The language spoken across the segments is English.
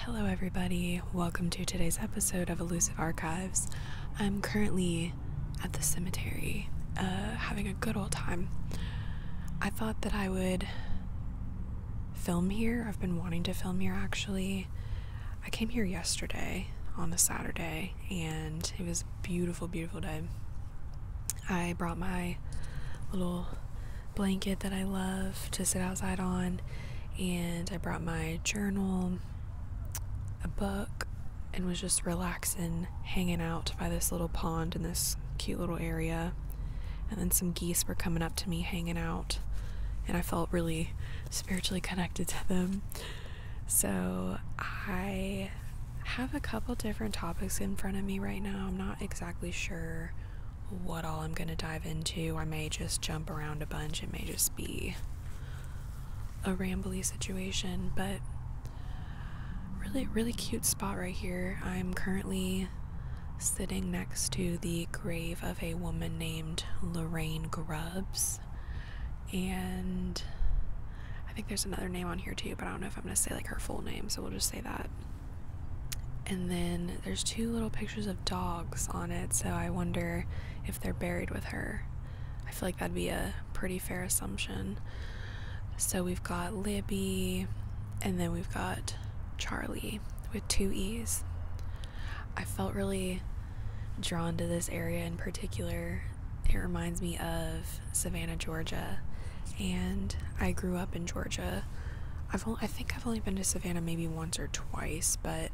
Hello, everybody. Welcome to today's episode of Elusive Archives. I'm currently at the cemetery, uh, having a good old time. I thought that I would film here. I've been wanting to film here actually. I came here yesterday on a Saturday and it was beautiful, beautiful day. I brought my little blanket that I love to sit outside on, and I brought my journal, a book, and was just relaxing, hanging out by this little pond in this cute little area. And then some geese were coming up to me, hanging out, and I felt really spiritually connected to them. So I have a couple different topics in front of me right now. I'm not exactly sure what all I'm going to dive into. I may just jump around a bunch. It may just be a rambly situation, but really, really cute spot right here. I'm currently sitting next to the grave of a woman named Lorraine Grubbs. And I think there's another name on here too, but I don't know if I'm going to say like her full name, so we'll just say that. And then there's two little pictures of dogs on it, so I wonder if they're buried with her. I feel like that'd be a pretty fair assumption. So we've got Libby, and then we've got Charlie with two E's. I felt really drawn to this area in particular. It reminds me of Savannah, Georgia, and I grew up in Georgia. I've only, I think I've only been to Savannah maybe once or twice, but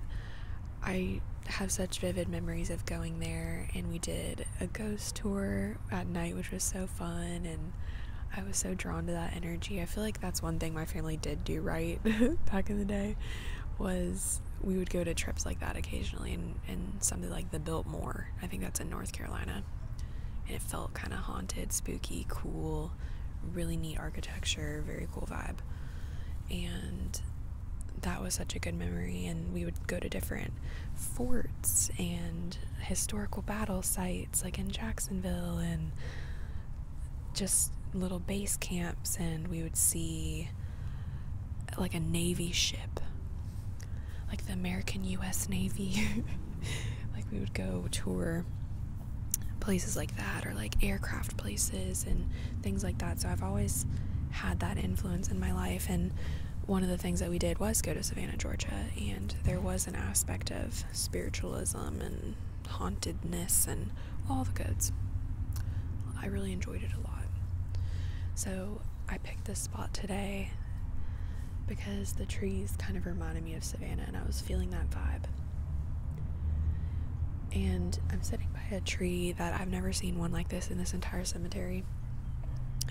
I have such vivid memories of going there. And we did a ghost tour at night, which was so fun. And I was so drawn to that energy. I feel like that's one thing my family did do right back in the day was we would go to trips like that occasionally and, and something like the Biltmore. I think that's in North Carolina. And it felt kind of haunted, spooky, cool really neat architecture, very cool vibe. And that was such a good memory. And we would go to different forts and historical battle sites, like in Jacksonville, and just little base camps. And we would see like a Navy ship, like the American U.S. Navy. like we would go tour places like that or like aircraft places and things like that. So I've always had that influence in my life and one of the things that we did was go to Savannah, Georgia, and there was an aspect of spiritualism and hauntedness and all the goods. I really enjoyed it a lot. So I picked this spot today because the trees kind of reminded me of Savannah and I was feeling that vibe. And I'm sitting by a tree that I've never seen one like this in this entire cemetery.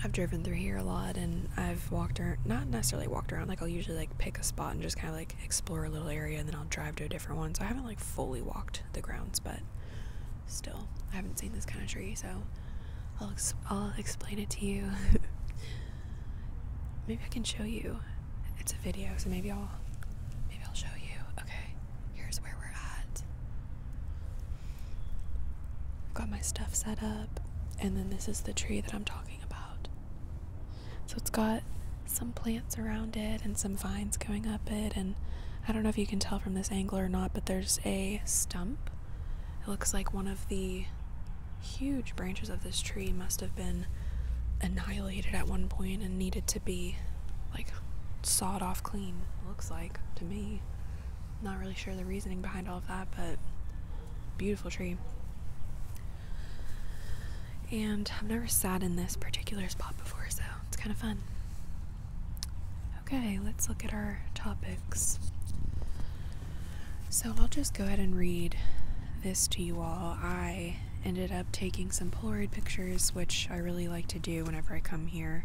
I've driven through here a lot and I've walked around, not necessarily walked around, like I'll usually like pick a spot and just kind of like explore a little area and then I'll drive to a different one. So I haven't like fully walked the grounds, but still, I haven't seen this kind of tree. So I'll, I'll explain it to you. Maybe I can show you it's a video, so maybe I'll maybe I'll show you. Okay, here's where we're at. I've got my stuff set up, and then this is the tree that I'm talking about. So it's got some plants around it and some vines going up it and I don't know if you can tell from this angle or not, but there's a stump. It looks like one of the huge branches of this tree must have been annihilated at one point and needed to be like sawed off clean, looks like to me. Not really sure the reasoning behind all of that, but beautiful tree. And I've never sat in this particular spot before, so it's kind of fun. Okay, let's look at our topics. So I'll just go ahead and read this to you all. I ended up taking some Polaroid pictures, which I really like to do whenever I come here,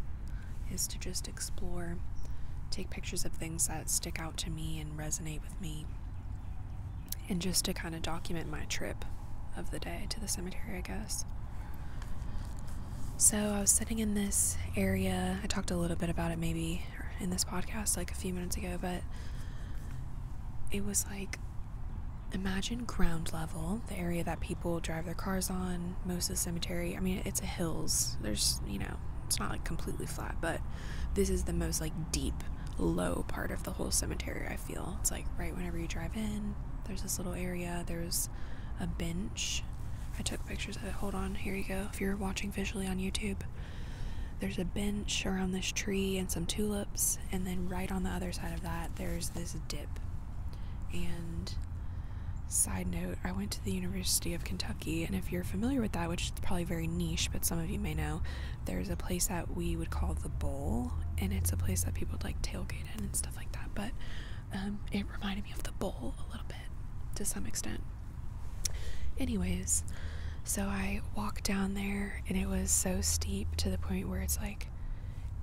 is to just explore, take pictures of things that stick out to me and resonate with me, and just to kind of document my trip of the day to the cemetery, I guess. So I was sitting in this area. I talked a little bit about it maybe in this podcast like a few minutes ago, but it was like imagine ground level, the area that people drive their cars on, most of the cemetery. I mean, it's a hills. There's, you know, it's not like completely flat, but this is the most like deep, low part of the whole cemetery, I feel. It's like right whenever you drive in, there's this little area, there's a bench. I took pictures of it. Hold on, here you go. If you're watching visually on YouTube, there's a bench around this tree and some tulips and then right on the other side of that there's this dip and side note i went to the university of kentucky and if you're familiar with that which is probably very niche but some of you may know there's a place that we would call the bowl and it's a place that people would like tailgate in and stuff like that but um, it reminded me of the bowl a little bit to some extent Anyways, so I walked down there and it was so steep to the point where it's like,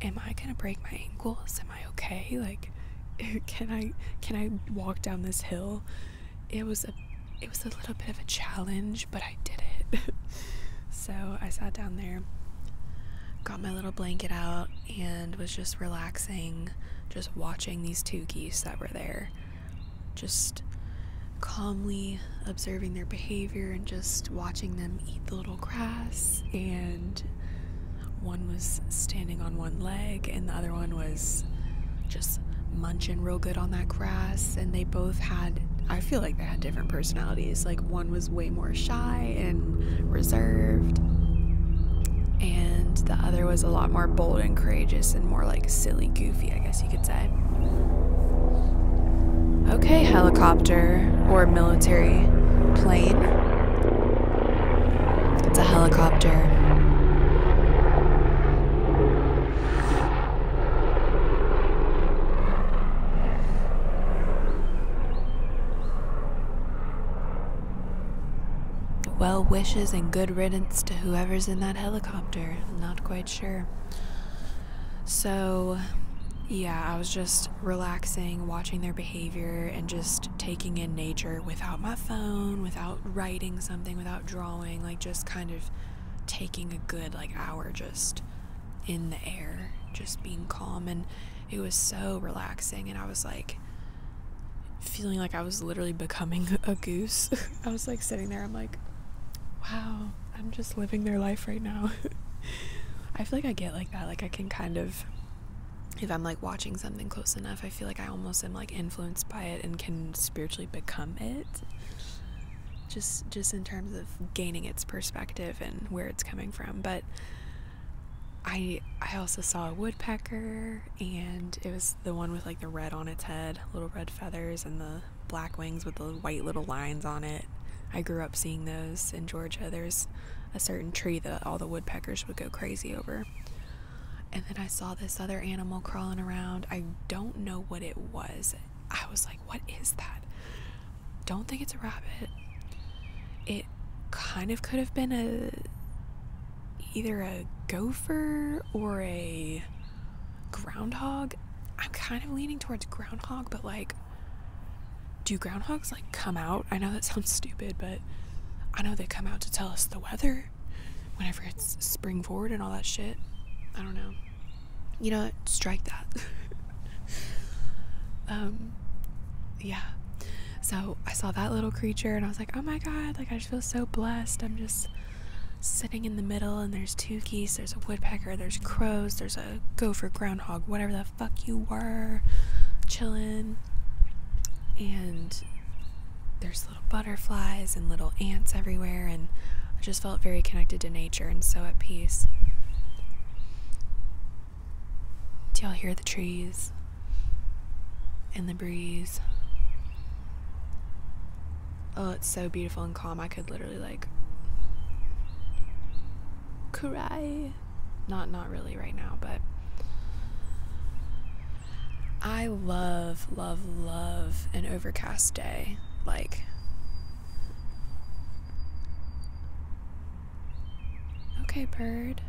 am I gonna break my ankles? Am I okay? Like, can I can I walk down this hill? It was a it was a little bit of a challenge, but I did it. so I sat down there, got my little blanket out, and was just relaxing, just watching these two geese that were there just calmly observing their behavior and just watching them eat the little grass. And one was standing on one leg, and the other one was just munching real good on that grass. And they both had, I feel like they had different personalities. Like one was way more shy and reserved. And the other was a lot more bold and courageous and more like silly, goofy, I guess you could say. Okay, helicopter or military plane. It's a helicopter. Well wishes and good riddance to whoever's in that helicopter. I'm not quite sure. So, yeah, I was just relaxing, watching their behavior, and just taking in nature without my phone, without writing something, without drawing, like just kind of taking a good like hour just in the air, just being calm. And it was so relaxing. And I was like feeling like I was literally becoming a goose. I was like sitting there, I'm like, wow, I'm just living their life right now. I feel like I get like that. Like, I can kind of, if I'm like watching something close enough, I feel like I almost am like influenced by it and can spiritually become it. Just, just in terms of gaining its perspective and where it's coming from. But I, I also saw a woodpecker, and it was the one with like the red on its head, little red feathers, and the black wings with the white little lines on it. I grew up seeing those in Georgia. There's a certain tree that all the woodpeckers would go crazy over. And then I saw this other animal crawling around. I don't know what it was. I was like, what is that? Don't think it's a rabbit. It kind of could have been a either a gopher or a groundhog. I'm kind of leaning towards groundhog, but like, do groundhogs like come out? I know that sounds stupid, but I know they come out to tell us the weather whenever it's spring forward and all that shit. I don't know. You know, strike that. um, yeah. So I saw that little creature and I was like, oh my god, like I just feel so blessed. I'm just sitting in the middle and there's two geese, there's a woodpecker, there's crows, there's a gopher, groundhog, whatever the fuck you were, chilling. And there's little butterflies and little ants everywhere, and I just felt very connected to nature and so at peace. Do y'all hear the trees and the breeze? Oh, it's so beautiful and calm. I could literally like cry. Not not really right now, but I love love love an overcast day. Like Okay, bird.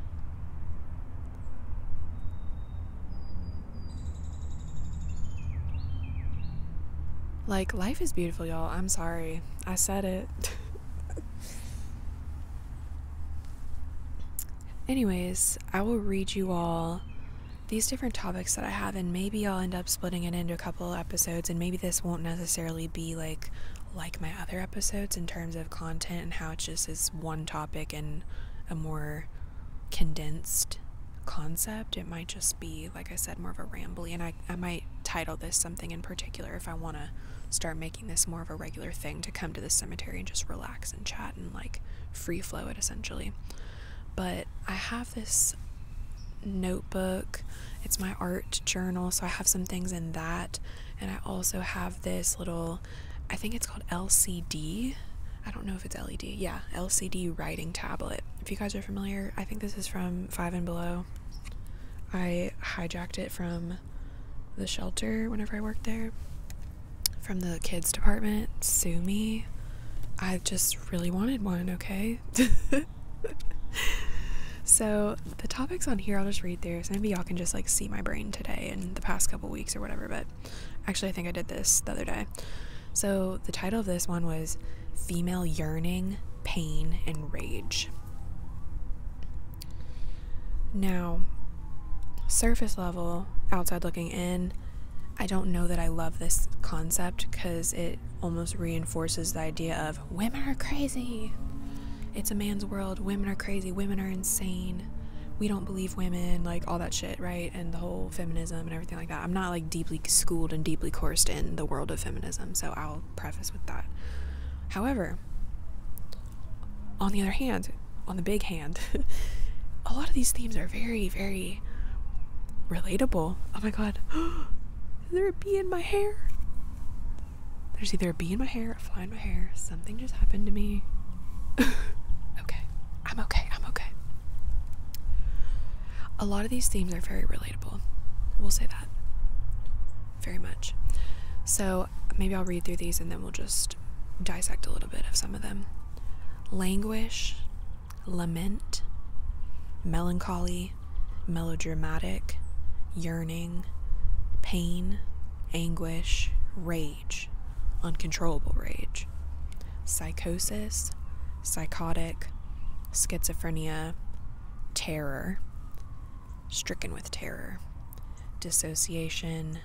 Like, life is beautiful, y'all. I'm sorry. I said it. Anyways, I will read you all these different topics that I have, and maybe I'll end up splitting it into a couple episodes, and maybe this won't necessarily be like like my other episodes in terms of content and how it just is one topic and a more condensed concept. It might just be, like I said, more of a rambly, and I, I might title this something in particular if I want to start making this more of a regular thing to come to the cemetery and just relax and chat and like free flow it essentially. But I have this notebook, it's my art journal, so I have some things in that, and I also have this little I think it's called LCD I don't know if it's LED. Yeah, LCD writing tablet. If you guys are familiar, I think this is from Five and Below. I hijacked it from the shelter whenever I worked there, from the kids department. Sue me. I just really wanted one, okay? so, the topics on here, I'll just read through. So, maybe y'all can just like see my brain today and the past couple weeks or whatever. But Actually, I think I did this the other day. So the title of this one was Female Yearning, Pain, and Rage. Now, surface level, outside looking in, I don't know that I love this concept because it almost reinforces the idea of women are crazy. It's a man's world. Women are crazy. Women are insane. We don't believe women. Like all that shit, right? and the whole feminism and everything like that. I'm not like deeply schooled and deeply coursed in the world of feminism, so I'll preface with that. However, on the other hand, on the big hand, a lot of these themes are very, very relatable. Oh my god. Is there a bee in my hair? There's either a bee in my hair, a fly in my hair, something just happened to me. okay. I'm okay, I'm okay. A lot of these themes are very relatable. We'll say that very much. So maybe I'll read through these and then we'll just dissect a little bit of some of them. Languish, lament, melancholy, melodramatic, yearning, pain, anguish, rage, uncontrollable rage, psychosis, psychotic, schizophrenia, terror, stricken with terror, dissociation,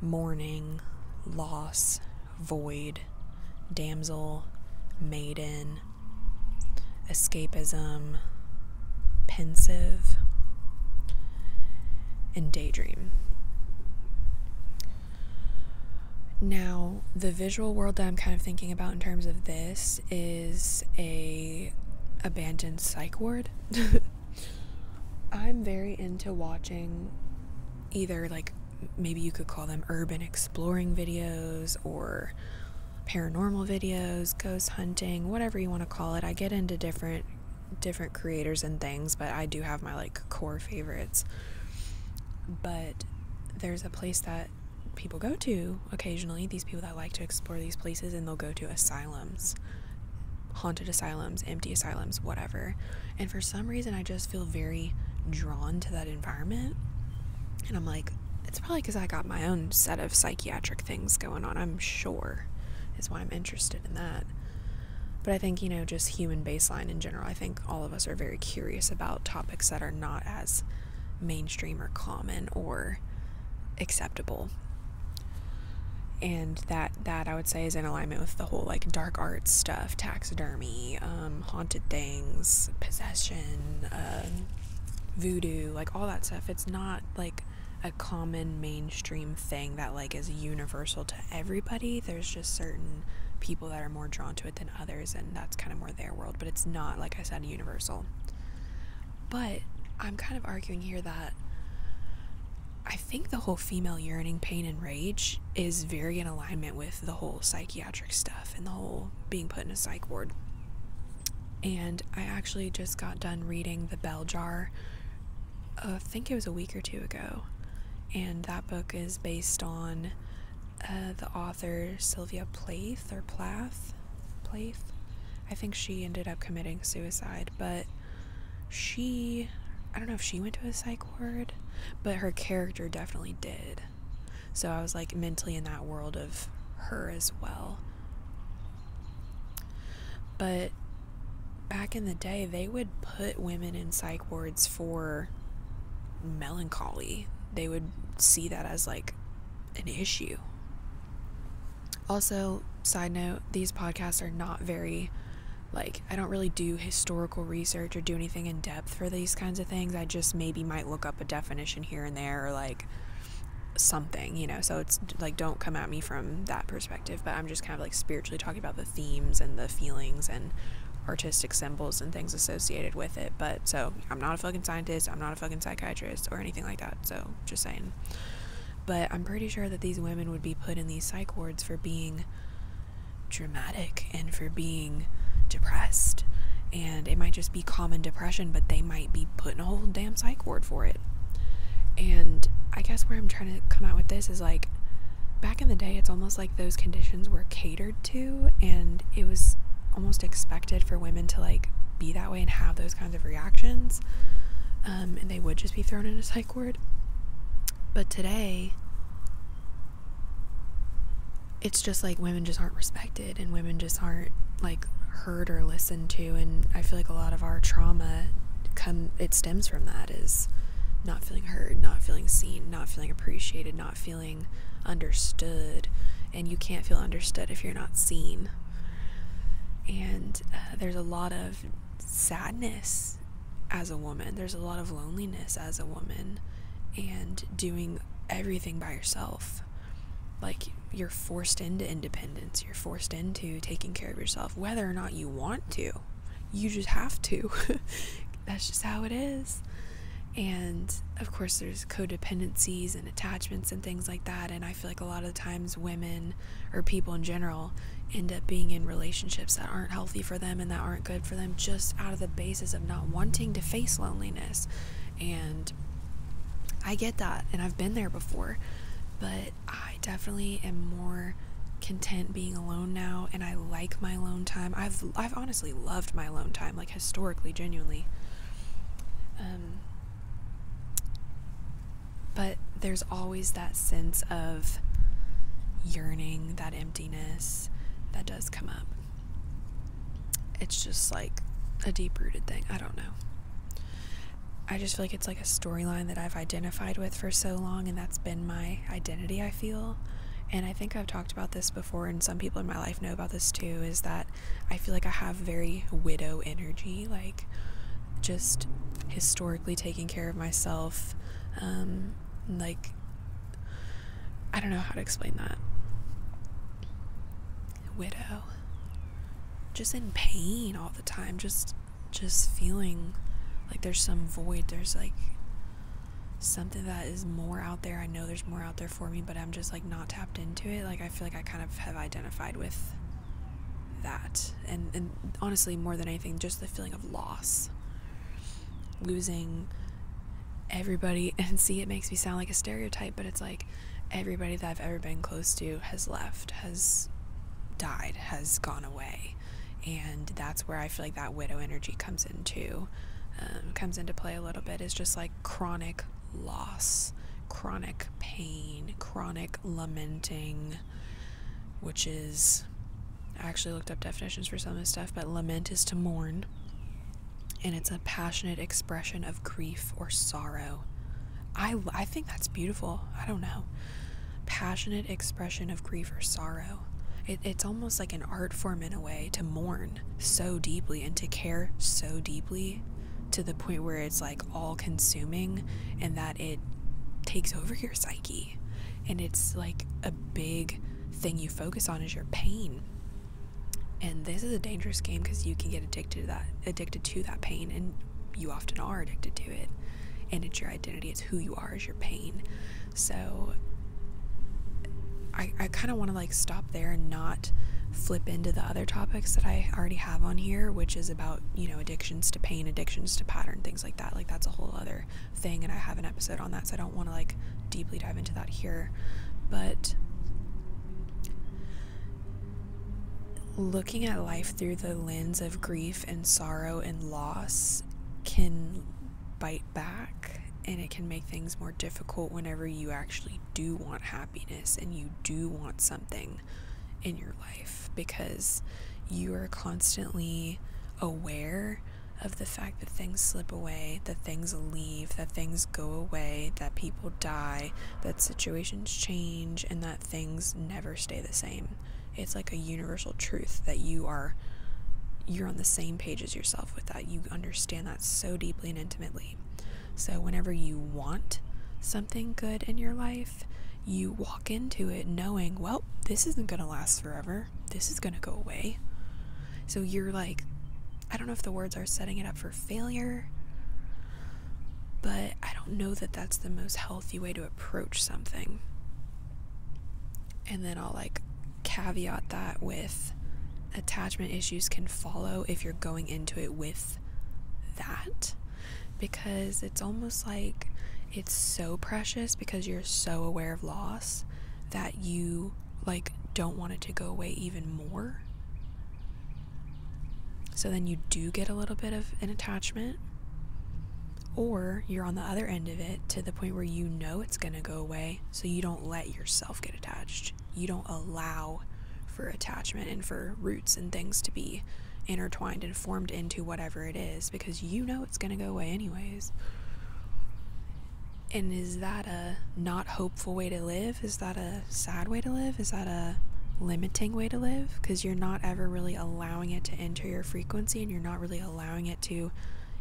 mourning, loss, void, damsel, maiden, escapism, pensive, and daydream. Now, the visual world that I'm kind of thinking about in terms of this is a abandoned psych ward. I'm very into watching either like maybe you could call them urban exploring videos or paranormal videos, ghost hunting, whatever you want to call it. I get into different different creators and things, but I do have my like core favorites but there's a place that people go to occasionally, these people that like to explore these places, and they'll go to asylums, haunted asylums, empty asylums, whatever. And for some reason, I just feel very drawn to that environment. And I'm like, it's probably because I got my own set of psychiatric things going on, I'm sure, is why I'm interested in that. But I think, you know, just human baseline in general, I think all of us are very curious about topics that are not as mainstream or common or acceptable. And that that I would say is in alignment with the whole like dark arts stuff, taxidermy, um, haunted things, possession, um, voodoo, like all that stuff. It's not like a common mainstream thing that like is universal to everybody. There's just certain people that are more drawn to it than others, and that's kind of more their world, but it's not, like I said, universal. But I'm kind of arguing here that I think the whole female yearning, pain and rage is very in alignment with the whole psychiatric stuff and the whole being put in a psych ward. And I actually just got done reading The Bell Jar, uh, I think it was a week or two ago and that book is based on uh, the author Sylvia Plath or Plath. Plath? I think she ended up committing suicide, but she. I don't know if she went to a psych ward, but her character definitely did. So I was like mentally in that world of her as well. But back in the day, they would put women in psych wards for melancholy. They would see that as like an issue. Also, side note, these podcasts are not very like I don't really do historical research or do anything in depth for these kinds of things. I just maybe might look up a definition here and there or like something, you know. So it's like don't come at me from that perspective, but I'm just kind of like spiritually talking about the themes and the feelings and artistic symbols and things associated with it. But so I'm not a fucking scientist, I'm not a fucking psychiatrist or anything like that. So just saying. But I'm pretty sure that these women would be put in these psych wards for being dramatic and for being depressed. And it might just be common depression, but they might be putting a whole damn psych ward for it. And I guess where I'm trying to come out with this is like back in the day, it's almost like those conditions were catered to and it was almost expected for women to like be that way and have those kinds of reactions um, and they would just be thrown in a psych ward but today it's just like women just aren't respected and women just aren't like heard or listened to and i feel like a lot of our trauma come it stems from that is not feeling heard, not feeling seen, not feeling appreciated, not feeling understood. And you can't feel understood if you're not seen. And uh, there's a lot of sadness as a woman, there's a lot of loneliness as a woman, and doing everything by yourself. Like, you're forced into independence, you're forced into taking care of yourself, whether or not you want to you just have to. That's just how it is. And of course, there's codependencies and attachments and things like that. And I feel like a lot of times women or people in general end up being in relationships that aren't healthy for them and that aren't good for them just out of the basis of not wanting to face loneliness. And I get that. And I've been there before. But I definitely am more content being alone now and I like my alone time. I've I've honestly loved my alone time like historically genuinely. Um but there's always that sense of yearning, that emptiness that does come up. It's just like a deep-rooted thing. I don't know. I just feel like it's like a storyline that I've identified with for so long, and that's been my identity, I feel. And I think I've talked about this before, and some people in my life know about this too is that I feel like I have very widow energy, like just historically taking care of myself. Um, like, I don't know how to explain that. Widow. Just in pain all the time, just just feeling like there's some void there's like something that is more out there i know there's more out there for me but i'm just like not tapped into it like i feel like i kind of have identified with that and and honestly more than anything just the feeling of loss losing everybody and see it makes me sound like a stereotype but it's like everybody that i've ever been close to has left has died has gone away and that's where I feel like that widow energy comes into um, comes into play a little bit is just like chronic loss, chronic pain, chronic lamenting, which is I actually looked up definitions for some of this stuff, but lament is to mourn. And it's a passionate expression of grief or sorrow. I, I think that's beautiful. I don't know passionate expression of grief or sorrow. it's almost like an art form in a way to mourn so deeply and to care so deeply to the point where it's like all consuming and that it takes over your psyche. And it's like a big thing you focus on is your pain. And this is a dangerous game because you can get addicted to that, addicted to that pain, and you often are addicted to it and it's your identity it's who you are is your pain so i, I kind of want to like stop there and not flip into the other topics that i already have on here which is about you know addictions to pain addictions to pattern things like that like that's a whole other thing and i have an episode on that so i don't want to like deeply dive into that here but looking at life through the lens of grief and sorrow and loss can bite back and it can make things more difficult whenever you actually do want happiness and you do want something in your life because you are constantly aware of the fact that things slip away, that things leave, that things go away, that people die, that situations change, and that things never stay the same it's like a universal truth that you are you're on the same page as yourself with that you understand that so deeply and intimately so whenever you want something good in your life you walk into it knowing well this isn't going to last forever this is going to go away so you're like i don't know if the words are setting it up for failure but i don't know that that's the most healthy way to approach something and then I'll like caveat that with attachment issues can follow if you're going into it with that because it's almost like it's so precious because you're so aware of loss that you like don't want it to go away even more. So then you do get a little bit of an attachment or you're on the other end of it to the point where you know it's going to go away, so you don't let yourself get attached. You don't allow for attachment and for roots and things to be intertwined and formed into whatever it is because you know it's going to go away anyways. And is that a not hopeful way to live? Is that a sad way to live? Is that a limiting way to live? Because you're not ever really allowing it to enter your frequency and you're not really allowing it to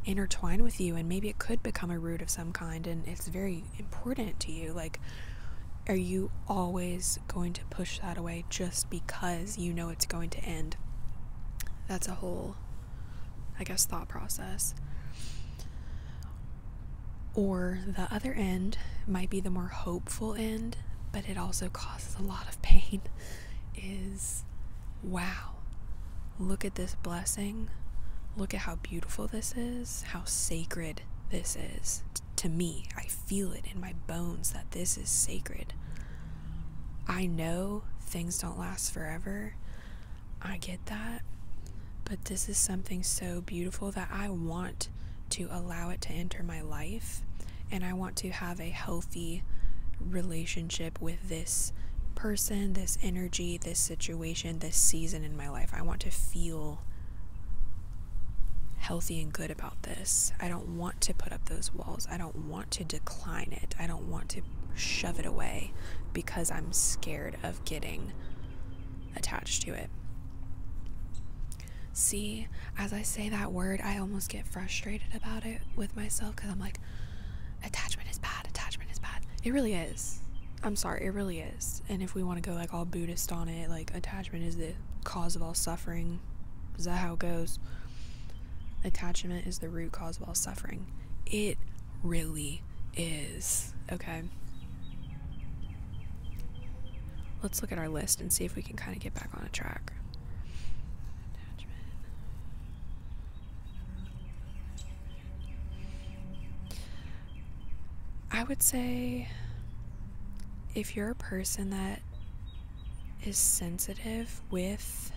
intertwine with you and maybe it could become a root of some kind and it's very important to you like are you always going to push that away just because you know it's going to end that's a whole i guess thought process or the other end might be the more hopeful end but it also causes a lot of pain is wow, look at this blessing. Look at how beautiful this is, how sacred this is. to me, I feel it in my bones that this is sacred. I know things don't last forever. I get that. But this is something so beautiful that I want to allow it to enter my life and I want to have a healthy relationship with this person, this energy, this situation, this season in my life. I want to feel healthy and good about this. I don't want to put up those walls. I don't want to decline it. I don't want to shove it away because I'm scared of getting attached to it. See, as I say that word, I almost get frustrated about it with myself because I'm like, attachment is bad, attachment is bad. It really is. I'm sorry, it really is. And if we want to go like all Buddhist on it, like attachment is the cause of all suffering. Is that how it goes? Attachment is the root cause of all suffering. It really is. Okay. Let's look at our list and see if we can kind of get back on a track. I would say if you're a person that is sensitive with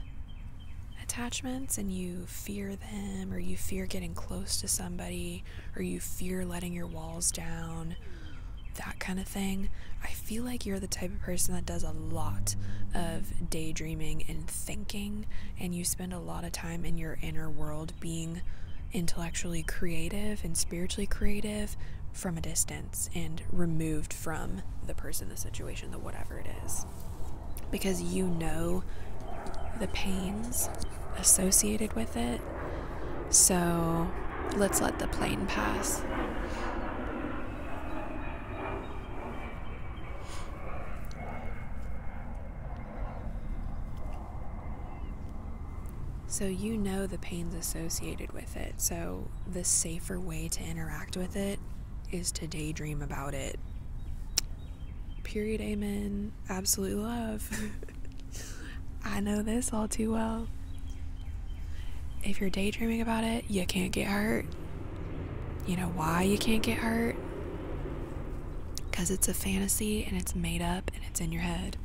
attachments and you fear them or you fear getting close to somebody or you fear letting your walls down, that kind of thing. I feel like you're the type of person that does a lot of daydreaming and thinking, and you spend a lot of time in your inner world being intellectually creative and spiritually creative from a distance and removed from the person, the situation, the whatever it is. Because you know the pains associated with it. So let's let the plane pass. So you know the pain's associated with it. So the safer way to interact with it is to daydream about it. Period, amen. Absolute love. I know this all too well. If you're daydreaming about it, you can't get hurt. You know why you can't get hurt? Because it's a fantasy and it's made up and it's in your head.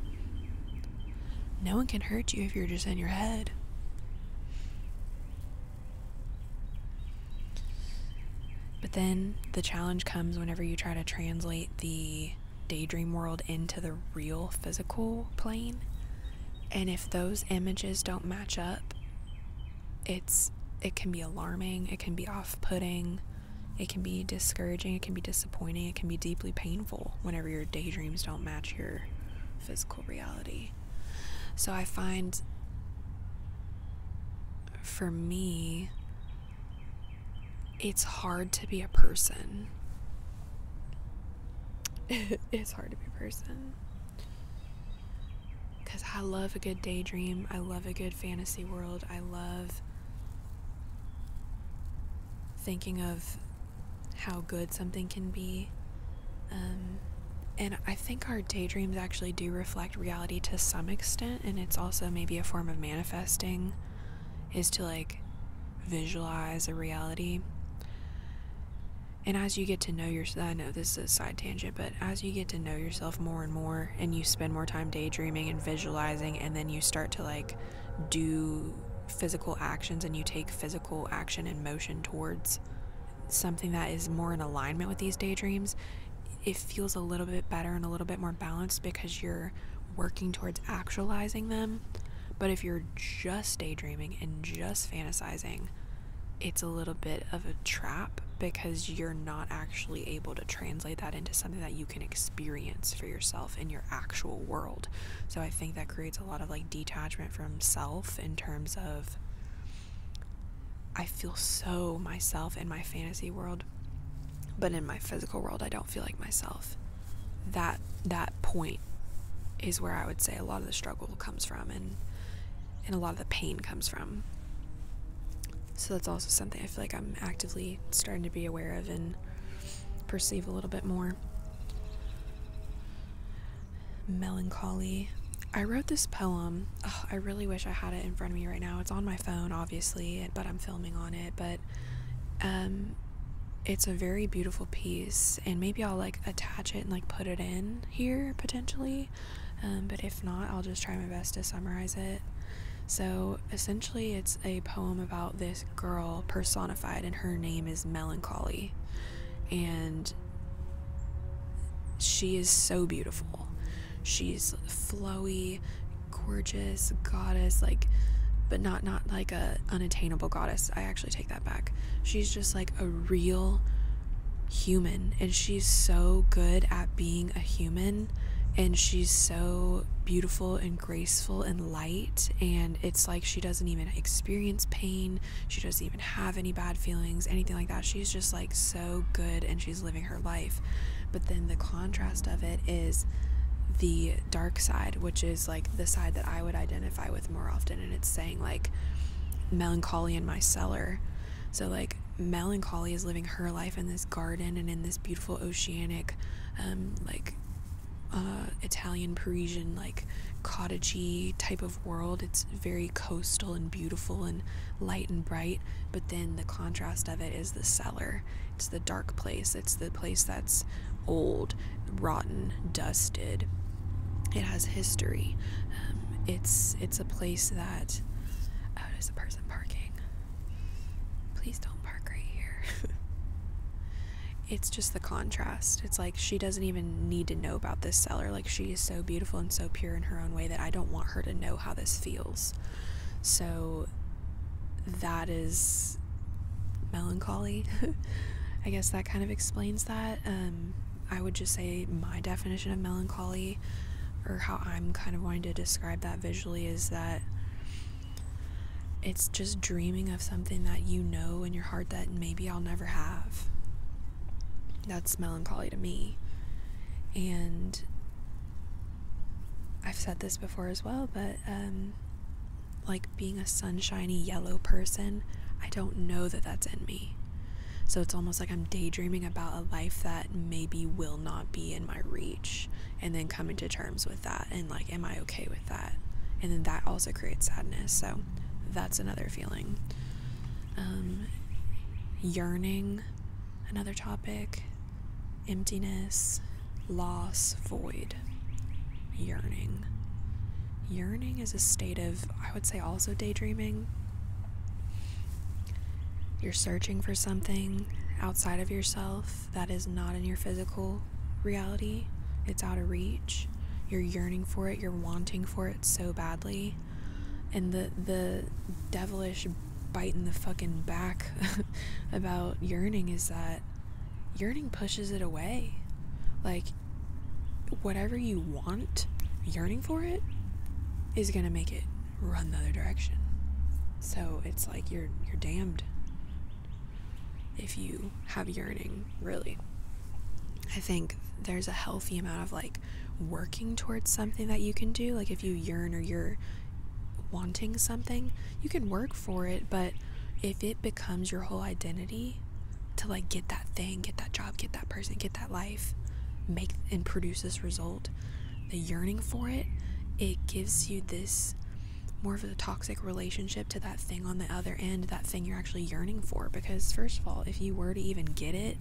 No one can hurt you if you're just in your head. But then the challenge comes whenever you try to translate the daydream world into the real physical plane and if those images don't match up, it's it can be alarming, it can be off-putting, it can be discouraging, it can be disappointing, it can be deeply painful whenever your daydreams don't match your physical reality. So I find for me it's hard to be a person. it's hard to be a person. Because I love a good daydream, I love a good fantasy world, I love thinking of how good something can be. Um, and I think our daydreams actually do reflect reality to some extent, and it's also maybe a form of manifesting, is to like visualize a reality and as you get to know yourself, I know this is a side tangent, but as you get to know yourself more and more, and you spend more time daydreaming and visualizing, and then you start to like do physical actions and you take physical action and motion towards something that is more in alignment with these daydreams, it feels a little bit better and a little bit more balanced because you're working towards actualizing them but if you're just daydreaming and just fantasizing, it's a little bit of a trap because you're not actually able to translate that into something that you can experience for yourself in your actual world. So I think that creates a lot of like detachment from self in terms of I feel so myself in my fantasy world, but in my physical world I don't feel like myself. That that point is where I would say a lot of the struggle comes from and and a lot of the pain comes from. So that's also something I feel like I'm actively starting to be aware of and perceive a little bit more. Melancholy. I wrote this poem. I really wish I had it in front of me right now. It's on my phone, obviously, but I'm filming on it. But um, it's a very beautiful piece and maybe i'll like attach it and like put it in here potentially um, but if not i'll just try my best to summarize it so essentially it's a poem about this girl personified and her name is melancholy and she is so beautiful she's flowy gorgeous goddess like but not not like a unattainable goddess i actually take that back. She's just like a real human and she's so good at being a human and she's so beautiful and graceful and light and it's like she doesn't even experience pain she doesn't even have any bad feelings anything like that she's just like so good and she's living her life but then the contrast of it is the dark side which is like the side that i would identify with more often and it's saying like melancholy in my cellar. So like melancholy is living her life in this garden and in this beautiful oceanic um, like uh, Italian Parisian like cottagey type of world. It's very coastal and beautiful and light and bright, but then the contrast of it is the cellar. It's the dark place. It's the place that's old, rotten, dusted. It has history. Um, it's it's a place that. Oh, there's person parking. Please don't park right here. it's just the contrast. It's like she doesn't even need to know about this cellar. Like she is so beautiful and so pure in her own way that I don't want her to know how this feels. So that is melancholy. I guess that kind of explains that. Um, I would just say my definition of melancholy, or how I'm kind of wanting to describe that visually, is that it's just dreaming of something that you know in your heart that maybe I'll never have. That's melancholy to me. And I've said this before as well, but um, like being a sunshiny yellow person, I don't know that that's in me. So it's almost like I'm daydreaming about a life that maybe will not be in my reach and then coming to terms with that and like, am I okay with that? And then that also creates sadness. So that's another feeling. Um, yearning, another topic, emptiness, loss, void yearning. Yearning is a state of, I would say, also daydreaming. You're searching for something outside of yourself that is not in your physical reality, it's out of reach. You're yearning for it, you're wanting for it so badly. And the, the devilish bite in the fucking back about yearning is that yearning pushes it away. Like, whatever you want, yearning for it, is gonna make it run the other direction. So it's like you're you're damned if you have yearning, really. I think there's a healthy amount of like working towards something that you can do. Like if you yearn or you're wanting something, you can work for it, but if it becomes your whole identity, to like get that thing, get that job, get that person, get that life, make and produce this result, the yearning for it, it gives you this more of a toxic relationship to that thing on the other end, that thing you're actually yearning for. Because, first of all, if you were to even get it,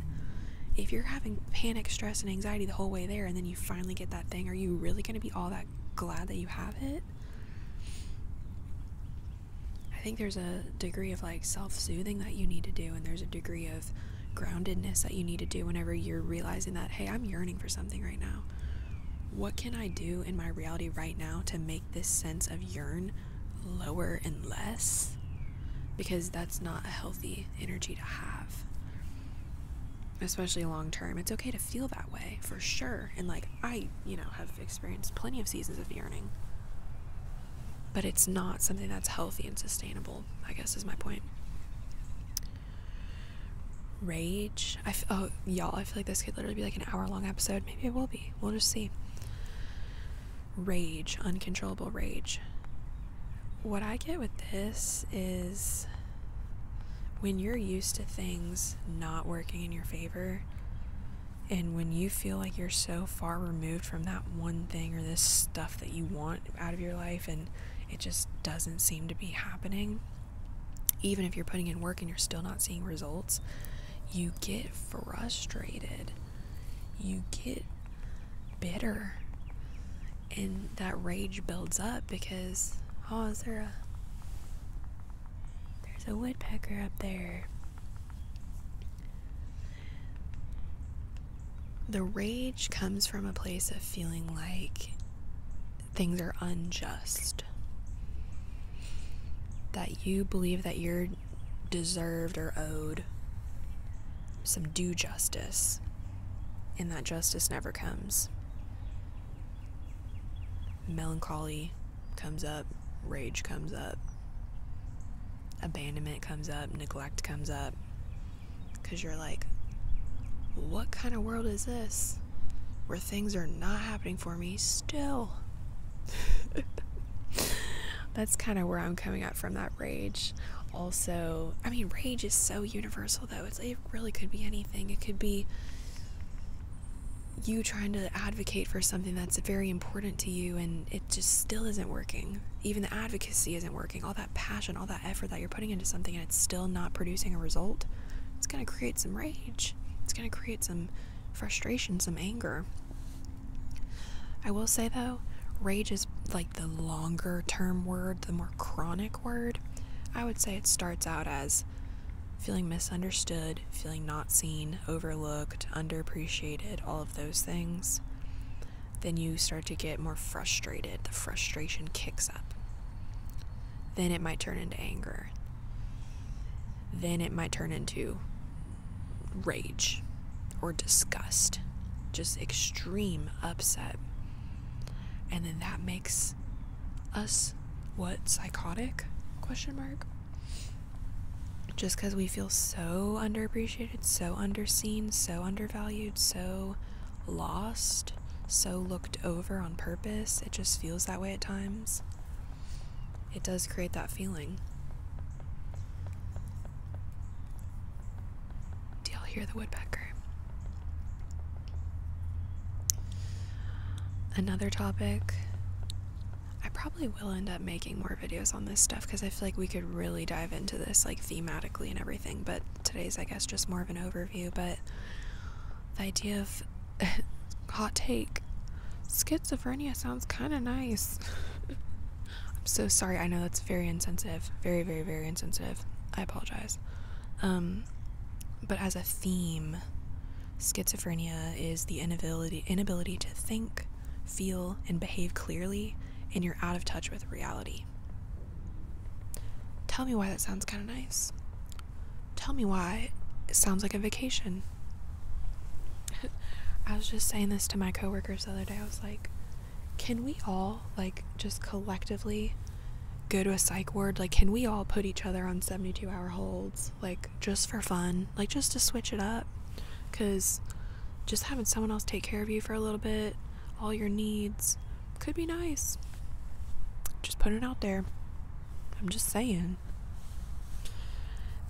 if you're having panic, stress, and anxiety the whole way there, and then you finally get that thing, are you really going to be all that glad that you have it? I think there's a degree of like self soothing that you need to do, and there's a degree of groundedness that you need to do whenever you're realizing that, hey, I'm yearning for something right now. What can I do in my reality right now to make this sense of yearn lower and less? Because that's not a healthy energy to have, especially long term. It's okay to feel that way for sure. And like, I, you know, have experienced plenty of seasons of yearning. But it's not something that's healthy and sustainable, I guess is my point. Rage. I f- oh, y'all, I feel like this could literally be like an hour long episode. Maybe it will be. We'll just see. Rage, uncontrollable rage. What I get with this is when you're used to things not working in your favor, and when you feel like you're so far removed from that one thing or this stuff that you want out of your life and it just doesn't seem to be happening, even if you're putting in work and you're still not seeing results, you get frustrated. You get bitter. And that rage builds up because, oh, is there a. There's a woodpecker up there. The rage comes from a place of feeling like things are unjust. That you believe that you're deserved or owed some due justice, and that justice never comes. Melancholy, comes up, rage comes up, abandonment comes up, neglect comes up. Because you're like, what kind of world is this where things are not happening for me still? That's kind of where I'm coming out from that rage. Also, I mean, rage is so universal though. it really could be anything. It could be you trying to advocate for something that's very important to you and it just still isn't working. Even the advocacy isn't working. All that passion, all that effort that you're putting into something and it's still not producing a result, it's going to create some rage. It's going to create some frustration, some anger. I will say though, rage is like the longer term word, the more chronic word. I would say it starts out as feeling misunderstood, feeling not seen, overlooked, underappreciated, all of those things, then you start to get more frustrated. The frustration kicks up. Then it might turn into anger. Then it might turn into rage or disgust, just extreme upset. And then that makes us what psychotic? Question mark just because we feel so underappreciated, so underseen, so undervalued, so lost, so looked over on purpose. It just feels that way at times. It does create that feeling. Do y'all hear the woodpecker? Another topic I probably will end up making more videos on this stuff because I feel like we could really dive into this like thematically and everything, but today's, I guess, just more of an overview. But the idea of hot take schizophrenia sounds kind of nice. I'm so sorry. I know that's very insensitive. Very, very, very insensitive. I apologize. Um, but as a theme, Schizophrenia is the inability inability to think, feel, and behave clearly, and you're out of touch with reality. Tell me why that sounds kind of nice. Tell me why it sounds like a vacation. I was just saying this to my coworkers the other day. I was like, can we all like just collectively go to a psych ward? Like, can we all put each other on 72 hour holds? like just for fun, like just to switch it up. Because just having someone else take care of you for a little bit, all your needs, could be nice. Just put it out there. I'm just saying.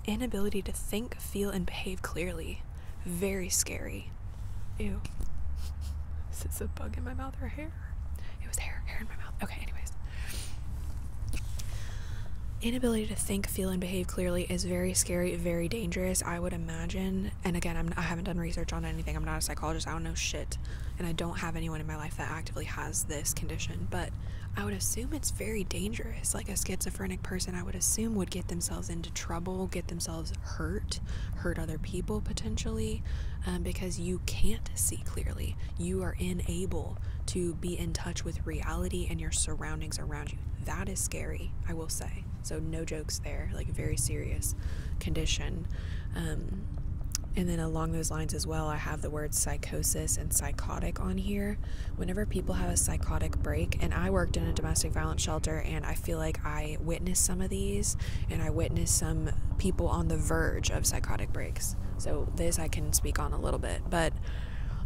Inability to think, feel, and behave clearly. Very scary. Ew. Is this a bug in my mouth or hair? It was hair, hair in my mouth. Okay, anyways. Inability to think, feel, and behave clearly is very scary, very dangerous, I would imagine. And again, I'm, I have not done research on anything. I'm not a psychologist. I don't know shit. And I don't have anyone in my life that actively has this condition. But I would assume it's very dangerous. Like a schizophrenic person, I would assume, would get themselves into trouble, get themselves hurt, hurt other people potentially, um, because you can't see clearly. You are unable to be in touch with reality and your surroundings around you. That is scary, I will say. So, no jokes there, like very serious condition. Um, and then along those lines as well, I have the words psychosis and psychotic on here. Whenever people have a psychotic break, and I worked in a domestic violence shelter, and I feel like I witnessed some of these, and I witnessed some people on the verge of psychotic breaks so this I can speak on a little bit, but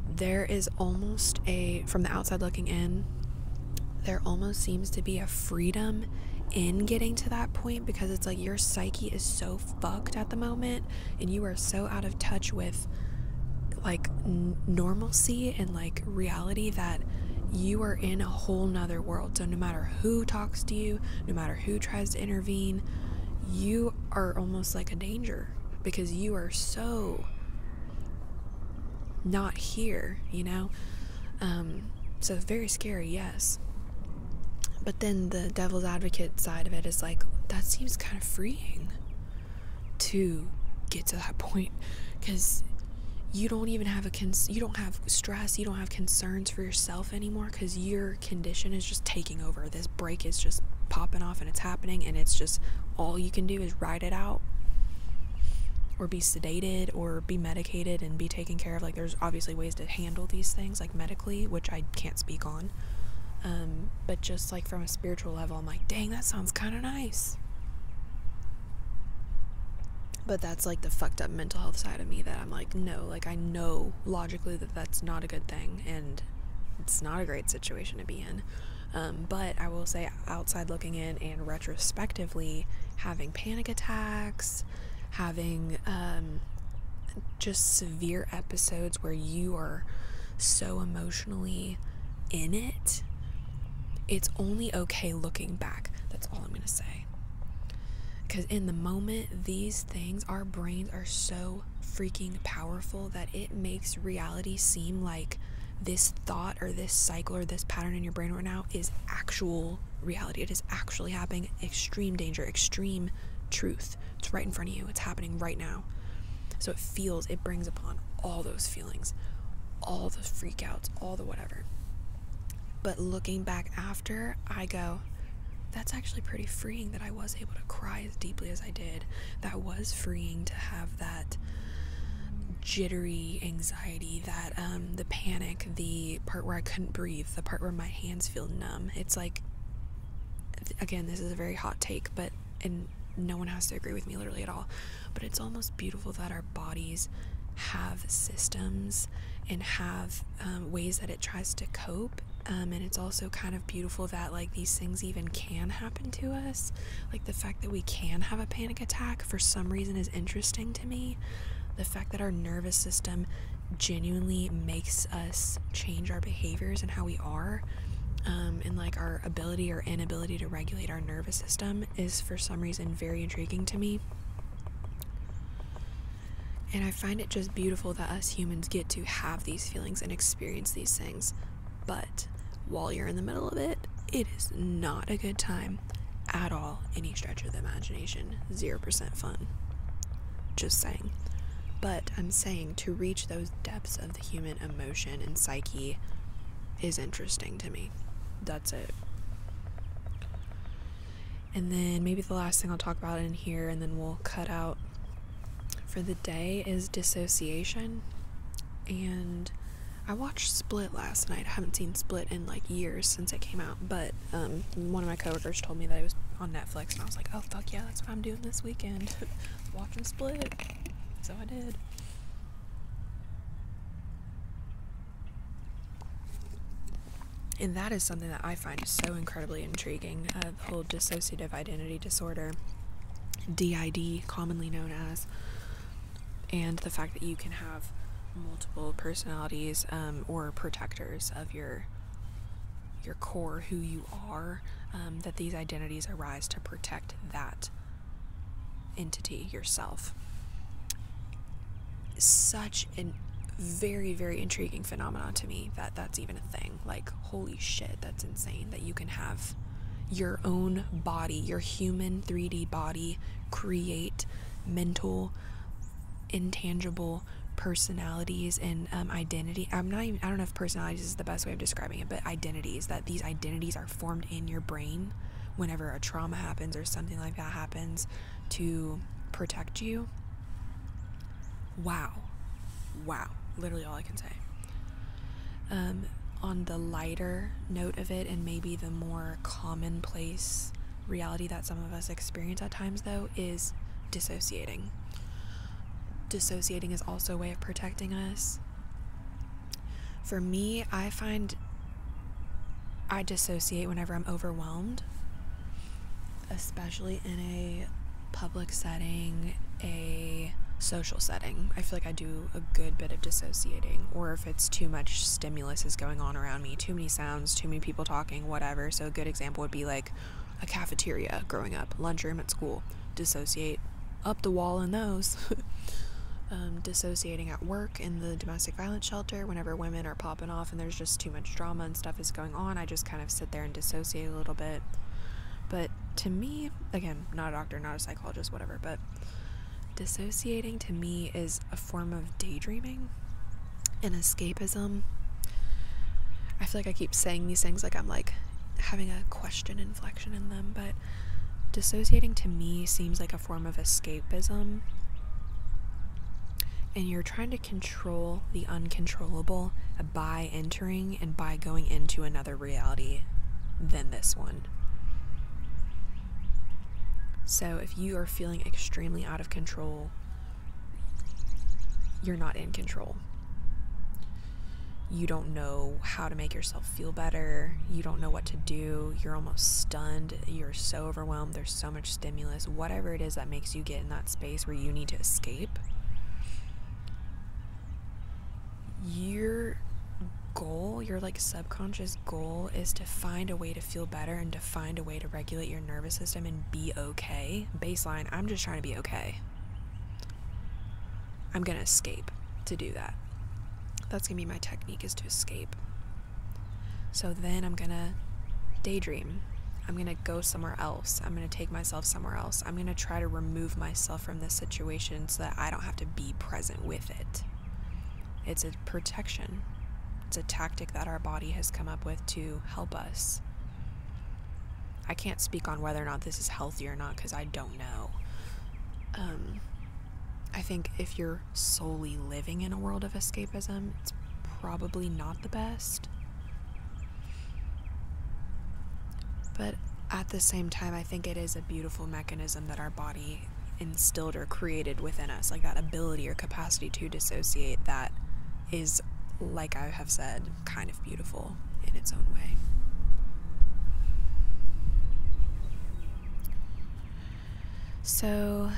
there is almost a, from the outside looking in, there almost seems to be a freedom in getting to that point because it's like your psyche is so fucked at the moment and you are so out of touch with like normalcy and like reality that you are in a whole nother world. So, no matter who talks to you, no matter who tries to intervene, you are almost like a danger because you are so not here, you know? Um, so very scary, yes. But then the devil's advocate side of it is like, that seems kind of freeing to get to that point because you don't even have a cons you don't have stress you don't have concerns for yourself anymore because you're condition is just taking over. This break is just popping off and it's happening, and it's just all you can do is ride it out or be sedated or be medicated and be taken care of. Like, there's obviously ways to handle these things, like medically, which I can't speak on. Um, but just like from a spiritual level, I'm like, dang, that sounds kind of nice. But that's like the fucked up mental health side of me that I'm like, no, like I know logically that that's not a good thing and it's not a great situation to be in. Um, but I will say, outside looking in and retrospectively, having panic attacks, having um, just severe episodes where you are so emotionally in it, it's only okay looking back. That's all I'm going to say. Because in the moment, these things, our brains are so freaking powerful that it makes reality seem like this thought or this cycle or this pattern in your brain right now is actual reality. It is actually happening. Extreme danger, extreme truth. It's right in front of you. It's happening right now. So it feels, it brings upon all those feelings, all the freakouts, all the whatever. But looking back after, I go, that's actually pretty freeing that I was able to cry as deeply as I did. That was freeing to have that jittery anxiety, that um, the panic, the part where I couldn't breathe, the part where my hands feel numb. It's like again, this is a very hot take, but and no one has to agree with me literally at all, but it's almost beautiful that our bodies have systems and have um, ways that it tries to cope um, and it's also kind of beautiful that like these things even can happen to us. Like the fact that we can have a panic attack for some reason is interesting to me. The fact that our nervous system genuinely makes us change our behaviors and how we are. Um, and like our ability or inability to regulate our nervous system is for some reason very intriguing to me. And I find it just beautiful that us humans get to have these feelings and experience these things. But while you're in the middle of it, it is not a good time at all, any stretch of the imagination. 0% fun. Just saying. But I'm saying to reach those depths of the human emotion and psyche is interesting to me. That's it. And then maybe the last thing I'll talk about in here, and then we'll cut out for the day is dissociation. And I watched Split last night. I haven't seen Split in like years since it came out, but um, one of my coworkers told me that it was on Netflix, and I was like, oh fuck yeah, that's what I'm doing this weekend. watching Split. So I did and that is something that I find so incredibly intriguing uh, the whole dissociative identity disorder, DID, commonly known as, and the fact that you can have multiple personalities um, or protectors of your your core, who you are, um, that these identities arise to protect that entity, yourself. Such a very, very intriguing phenomenon to me that that's even a thing. Like, holy shit, that's insane that you can have your own body, your human 3D body, create mental, intangible personalities and um, identity. I'm not even, I don't know if personalities is the best way of describing it, but identities, that these identities are formed in your brain whenever a trauma happens or something like that happens to protect you Wow. Wow. Literally all I can say. Um, on the lighter note of it, and maybe the more commonplace reality that some of us experience at times, though, is dissociating. Dissociating is also a way of protecting us. For me, I find I dissociate whenever I'm overwhelmed especially in a public setting, a social setting. I feel like I do a good bit of dissociating, or if it's too much stimulus is going on around me, too many sounds, too many people talking, whatever. So, a good example would be like a cafeteria growing up, lunchroom at school, dissociate up the wall in those. Um, dissociating at work in the domestic violence shelter whenever women are and off and there's just too much drama and stuff is going on, I just kind of sit there and dissociate a little bit. But to me, again, not a doctor, not a psychologist, whatever, but dissociating to me is a form of daydreaming and escapism. I feel like I keep saying these things like I'm like having a question inflection in them, but dissociating to me seems like a form of escapism. And you're trying to control the uncontrollable by entering and by going into another reality than this one. So if you are feeling extremely out of control, you're not in control. You don't know how to make yourself feel better. You don't know what to do. You're almost stunned. You're so overwhelmed. There's so much stimulus, whatever it is that makes you get in that space where you need to escape, your goal, your like subconscious goal is to find a way to feel better and to find a way to regulate your nervous system and be okay. Baseline, I'm just trying to be okay. I'm going to escape to do that. That's going to be my technique is to escape. So then I'm going to daydream I'm going to go somewhere else. I'm going to take myself somewhere else. I'm going to try to remove myself from this situation so that I don't have to be present with it. It's a protection, it's a tactic that our body has come up with to help us. I can't speak on whether or not this is healthy or not because I don't know. Um, I think if you're solely living in a world of escapism, it's probably not the best but at the same time, I think it is a beautiful mechanism that our body instilled or created within us, like that ability or capacity to dissociate that is, like I have said, kind of beautiful in its own way. So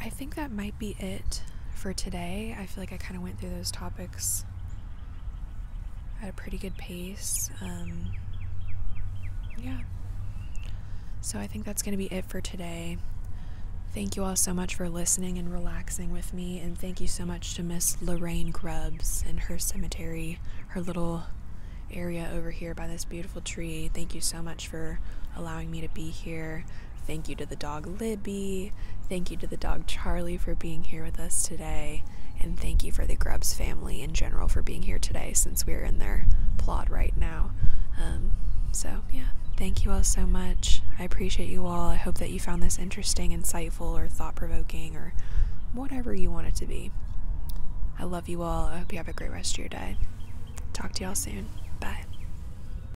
I think that might be it for today. I feel like I kind of went through those topics at a pretty good pace. Um, yeah. So I think that's going to be it for today. Thank you all so much for listening and relaxing with me. And thank you so much to Miss Lorraine Grubbs and her cemetery, her little area over here by this beautiful tree. Thank you so much for allowing me to be here. Thank you to the dog Libby. Thank you to the dog Charlie for being here with us today. And thank you for the Grubs family in general for being here today since we're in their plot right now. Um, so, yeah, thank you all so much. I appreciate you all. I hope that you found this interesting, insightful, or thought provoking, or whatever you want it to be. I love you all. I hope you have a great rest of your day. Talk to y'all soon. Bye.